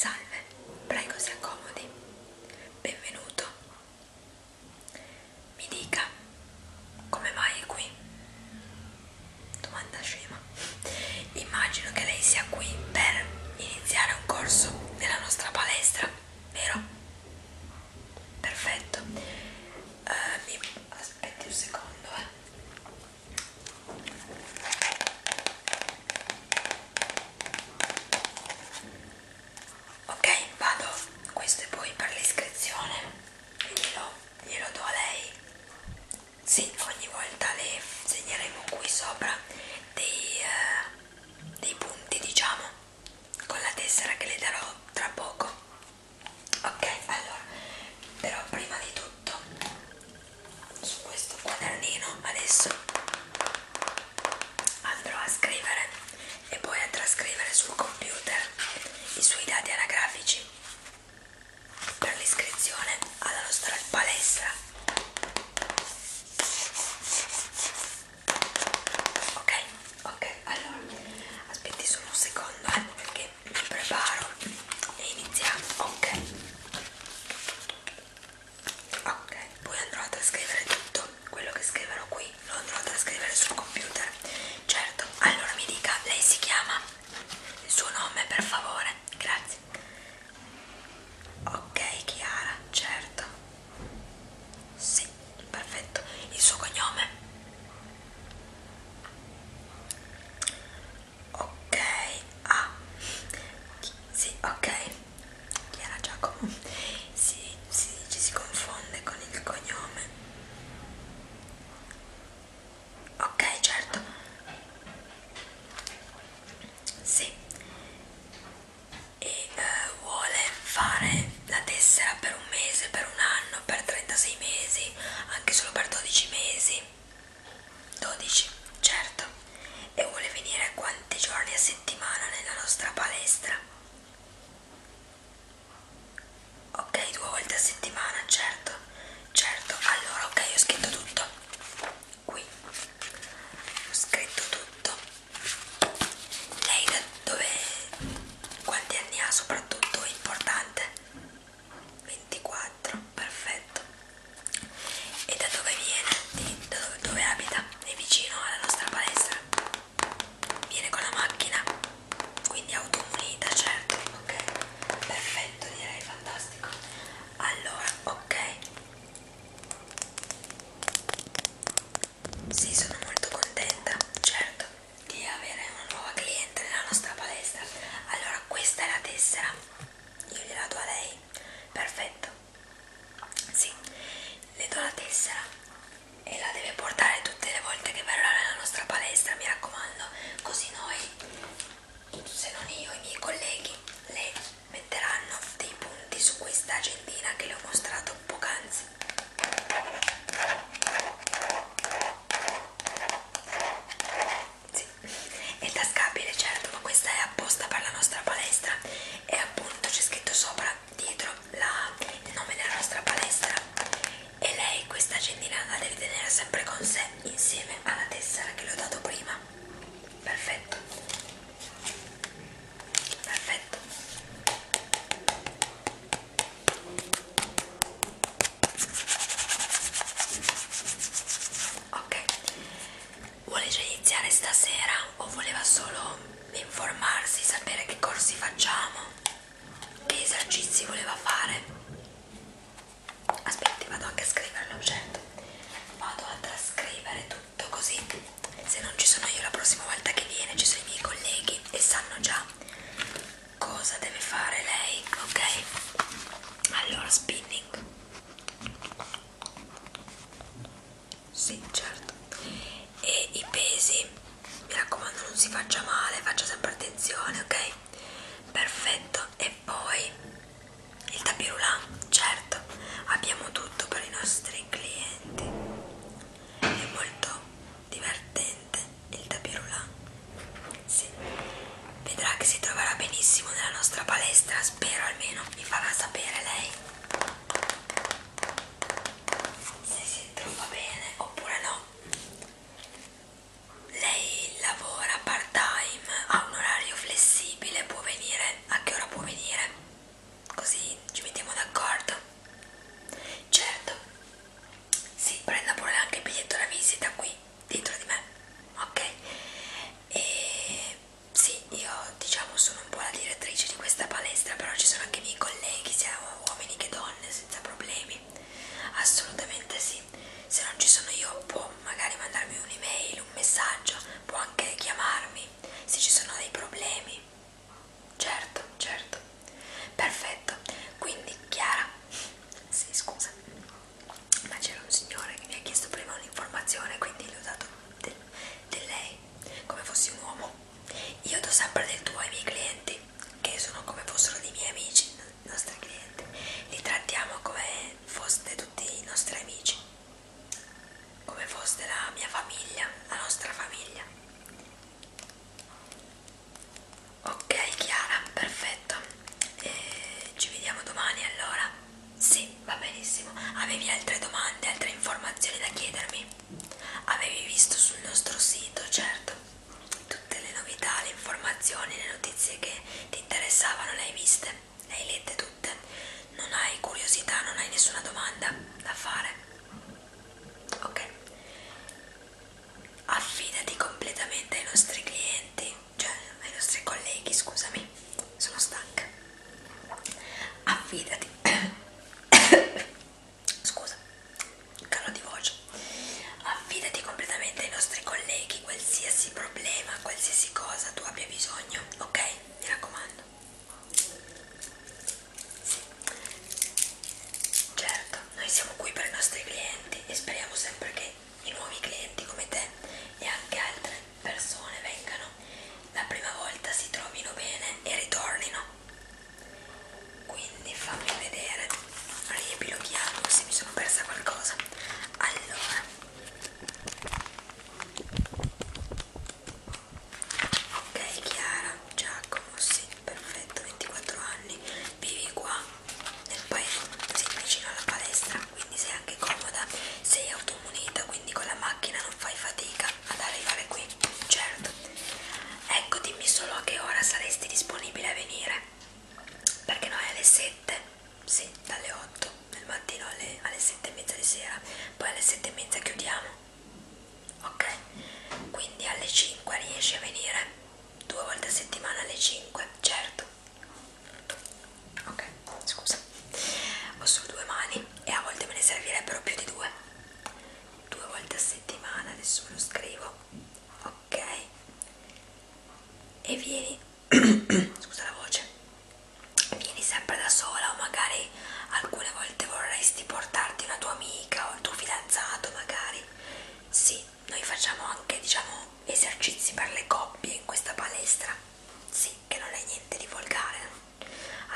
Salve, prego si accomodi. Benvenuto. Mi dica, come mai è qui? Domanda scema. Immagino che lei sia qui per iniziare un corso nella nostra palestra, vero? Perfetto. Uh, mi aspetti un secondo, eh ok vado questo è poi per l'iscrizione glielo, glielo do a lei sì, ogni volta le segneremo qui sopra dei, eh, dei punti diciamo con la tessera che le darò tra poco ok allora però prima di tutto su questo quadernino adesso andrò a scrivere e poi a trascrivere sul computer i suoi dati anagrafici per l'iscrizione alla nostra palestra ok ok allora aspetti solo un secondo eh, perché mi preparo e iniziamo ok ok poi andrò a trascrivere tutto quello che scriverò qui lo andrò a trascrivere sul computer certo allora mi dica lei si chiama il suo nome per favore grazie ok Chiara certo sì perfetto il suo cognome ok ah sì ok Chiara Giacomo si, si ci si confonde con il cognome ok certo sì e uh, vuole fare la tessera per un mese per un anno per 36 mesi anche solo per 12 mesi 12. Certo. E vuole venire quanti giorni a settimana nella nostra palestra? Ok, due volte a settimana, certo. Certo, allora ok, ho scritto tutto. Qui. Ho scritto tutto. Lei da dove... quanti anni ha soprattutto? È importante. 24. 4 perfetto e da dove viene? da dove, dove abita? è vicino alla nostra palestra viene con la macchina quindi automunita certo ok perfetto direi fantastico allora ok sì sono molto contenta certo di avere una nuova cliente nella nostra palestra allora questa è la tessera io gliela do a lei perfetto sì le do la tessera e la deve portare tutte le volte che verrà nella nostra palestra mi raccomando così noi se non io i miei colleghi le metteranno dei punti su questa agendina che le ho mostrato poc'anzi sì, è tascabile certo ma questa è apposta per la nostra palestra e appunto c'è scritto sopra dietro la, il nome della nostra palestra e lei questa agendina la deve tenere sempre con sé insieme alla tessera che le ho dato prima perfetto perfetto ok vuole già iniziare stasera o voleva solo informarsi, sapere che corsi facciamo, che esercizi voleva fare. Aspetti, vado anche a scrivere l'oggetto, vado a trascrivere tutto così se non ci sono io la prossima volta che viene ci sono i miei colleghi e sanno già cosa deve fare lei, ok? Allora, spinning sì, certo. E i pesi, mi raccomando, non si faccia male, faccia sempre attenzione, ok? Perfetto. E poi il tapirulà, certo, abbiamo tutto per i nostri clienti. È molto divertente il tapirulà. Sì. Vedrà che si troverà benissimo nella nostra palestra, spero almeno mi farà sapere lei se si trova bene oppure no. Lei lavora part time, ha un orario flessibile, può venire a che ora può venire, così ci mettiamo d'accordo. Certo, si prenda pure anche il biglietto da visita qui dietro di me, ok? E sì, io diciamo sono un po' la direttrice di questa palestra, però ci sono anche i miei colleghi, sia uomini che donne, senza problemi. Assolutamente sì. Se non ci sono io può magari mandarmi un'email, un messaggio, può anche chiamarmi se ci sono dei problemi. Certo, certo. Perfetto. Quindi Chiara? Sì, scusa ma c'era un signore che mi ha chiesto prima un'informazione, quindi gli ho dato del, del lei, come fossi un uomo. Io do sempre del tuo ai miei clienti, che sono come fossero dei miei amici, i nostri clienti. Li trattiamo come foste tutti i nostri amici, come foste la mia famiglia, la nostra famiglia. Ok Chiara, perfetto. E eh, ci vediamo domani allora. Sì, va benissimo. Avevi altre domande, altre informazioni da chiedermi? Avevi visto sul nostro sito, certo, tutte le novità, le informazioni, le notizie che ti interessavano, le hai viste, le hai lette tutte. Non hai curiosità, non hai nessuna domanda da fare. Ok. Affidati completamente ai nostri clienti cioè ai nostri colleghi, scusami, sono stanca. Affidati, scusa, calo di voce. Affidati completamente ai nostri colleghi, qualsiasi problema, qualsiasi cosa tu abbia bisogno, ok? Mi raccomando. Sì. Certo, noi siamo qui per i nostri clienti e speriamo sempre che i nuovi clienti come te e anche altre persone vengano la prima volta, si trovino bene e ritornino. Quindi fammi vedere, riepiloghiamo se mi sono persa qualcosa. Allora, ok Chiara, Giacomo, sì, perfetto, 24 anni, vivi qua nel paese, sei vicino alla palestra, quindi sei anche comoda, sei autonomo molto munita quindi con la macchina non fai fatica ad arrivare qui certo ecco dimmi solo a che ora saresti disponibile a venire perché noi alle 7 sì dalle 8 del mattino alle, alle 7 e mezza di sera poi alle 7 e mezza chiudiamo ok quindi alle 5 riesci a venire due volte a settimana alle 5 certo ok scusa ho solo due mani e a volte me ne servirebbero più di due due volte a settimana adesso me lo scrivo ok e vieni scusa la voce vieni sempre da sola o magari alcune volte vorresti portarti una tua amica o il tuo fidanzato magari sì noi facciamo anche diciamo esercizi per le coppie in questa palestra sì che non è niente di volgare,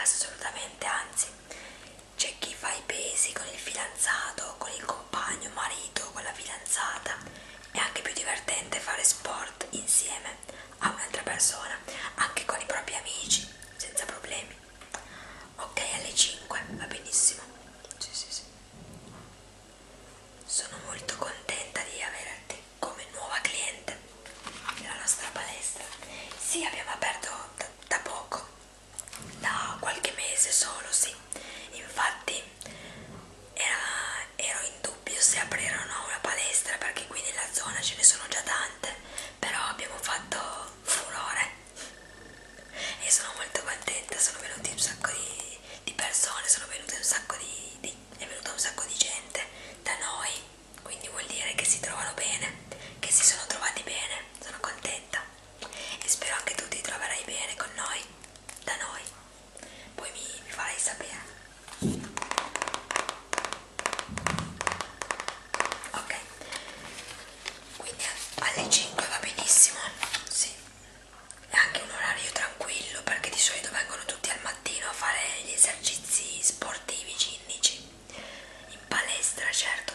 assolutamente, anzi, c'è chi fa i pesi con il fidanzato, con il compagno, marito, con la fidanzata, è anche più divertente fare sport insieme a un'altra persona, anche con i propri amici, senza problemi. Ok, alle 5 va benissimo. Sì, sì, sì. Sono molto contenta di averti come nuova cliente della nostra palestra. Sì, abbiamo aperto da, da poco, da qualche mese solo, sì. Infatti era, ero in dubbio se aprire o no una palestra perché qui nella zona ce ne sono già tante, però abbiamo fatto furore e sono molto contenta, sono venuti un sacco di, di persone, sono venute un sacco di, di è venuta un sacco di gente da noi, quindi vuol dire che si trovano bene, che si sono trovati bene, sono contenta e spero anche tu ti troverai bene con noi, da noi, poi mi, mi farai sapere. Ok, quindi alle 5 va benissimo, sì, è anche un orario tra tranquillo perché di solito vengono tutti al mattino a fare gli esercizi sportivi cinnici in palestra certo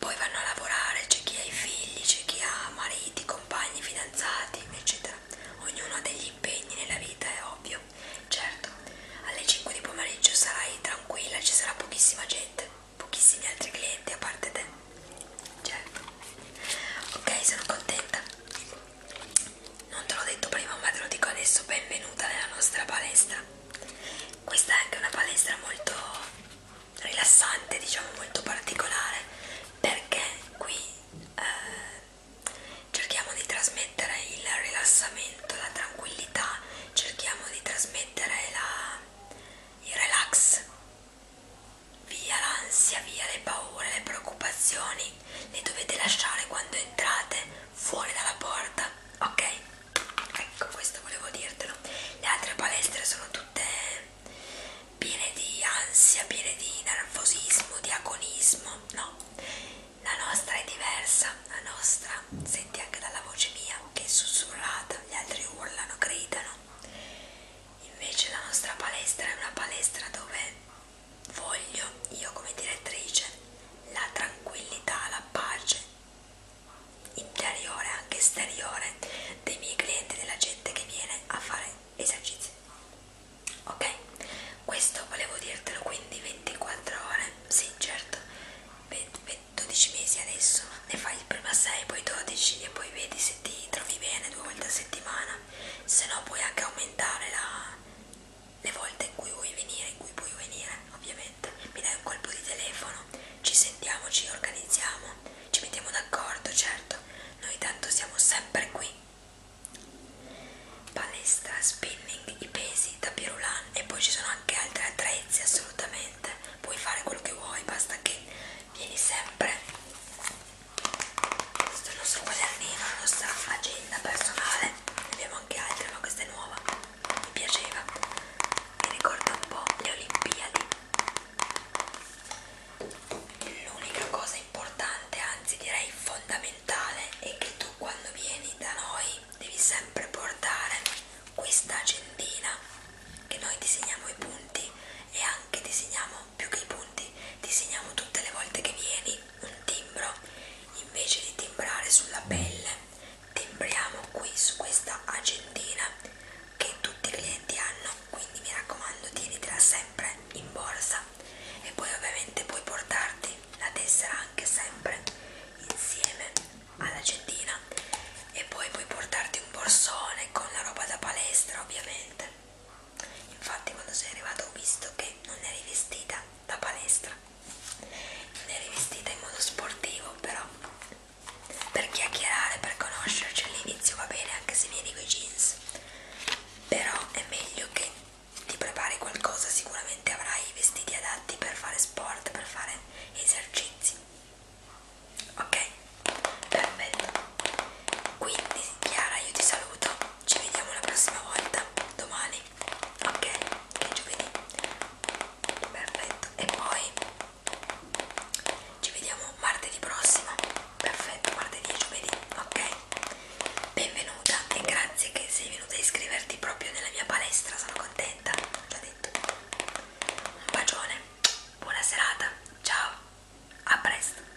poi vanno a lavorare c'è chi ha i figli c'è chi ha mariti compagni fidanzati eccetera ognuno ha degli impegni nella vita è ovvio certo alle 5 di pomeriggio sarai tranquilla ci sarà pochissima gente pochissimi altri clienti a parte te certo ok sono contenta non te l'ho detto prima ma te lo dico adesso benvenuta nella nostra palestra questa è anche una palestra molto rilassante diciamo molto particolare perché qui eh, cerchiamo di trasmettere il rilassamento la tranquillità cerchiamo di trasmettere la, il relax via l'ansia via le paure le preoccupazioni ok? Li dovete lasciare quando entrate fuori dalla porta, ok? Ecco, questo volevo dirtelo. Le altre palestre sono tutte piene di ansia, piene di nervosismo, di agonismo, no? La nostra è diversa, la nostra senti anche dalla voce mia che è sussurrata, gli altri urlano, gridano. Invece la nostra palestra è una palestra dove voglio io come direttrice la tranquillità, la pace interiore anche esteriore dei miei clienti, della gente che viene a fare esercizi. Ok? Questo volevo dirtelo quindi 24 ore, sì certo, 20, 12 mesi adesso, ne fai prima 6, poi 12 e poi vedi se ti trovi bene due volte a settimana, se no puoi anche aumentare la le volte in cui vuoi venire, in cui puoi venire, ovviamente, mi dai un colpo di telefono, ci sentiamo, ci organizziamo, ci mettiamo d'accordo, certo, noi tanto siamo sempre qui. Palestra, spinning, i pesi, tapirulan e poi ci sono anche altri attrezzi, assolutamente, puoi fare quello che vuoi, basta che vieni sempre. Questo è il nostro quadernino, la nostra agenda la personale, ne abbiamo anche altre, ma questa è nuova, mi piaceva, mi ricorda un po' le Olimpiadi. L'unica cosa importante, anzi direi fondamentale, è che tu quando vieni da noi devi sempre portare questa agendina che noi disegniamo i punti e anche disegniamo più che i punti, disegniamo tutte le volte che vieni un timbro invece di timbrare sulla pelle timbriamo qui su questa agendina che tutti i clienti hanno quindi mi raccomando tienitela sempre in borsa e poi ovviamente puoi portarti la tessera anche sempre insieme all'agendina e poi puoi portarti un borsone con la roba da palestra ovviamente infatti quando sei arrivato ho visto che non eri vestita da palestra non è rivestita in modo sportivo però per chiacchierare per conoscerci all'inizio va bene anche se vieni con i jeans però è meglio che ti prepari qualcosa sicuramente avrai i vestiti adatti per fare sport per fare esercizi ok perfetto quindi Chiara io ti saluto ci vediamo la prossima volta domani ok che è giovedì perfetto e poi ci vediamo martedì prossimo perfetto martedì e giovedì ok benvenuta e grazie che sei venuta a iscriverti proprio nella mia palestra sono contenta l'ho detto un bacione buona serata ciao a presto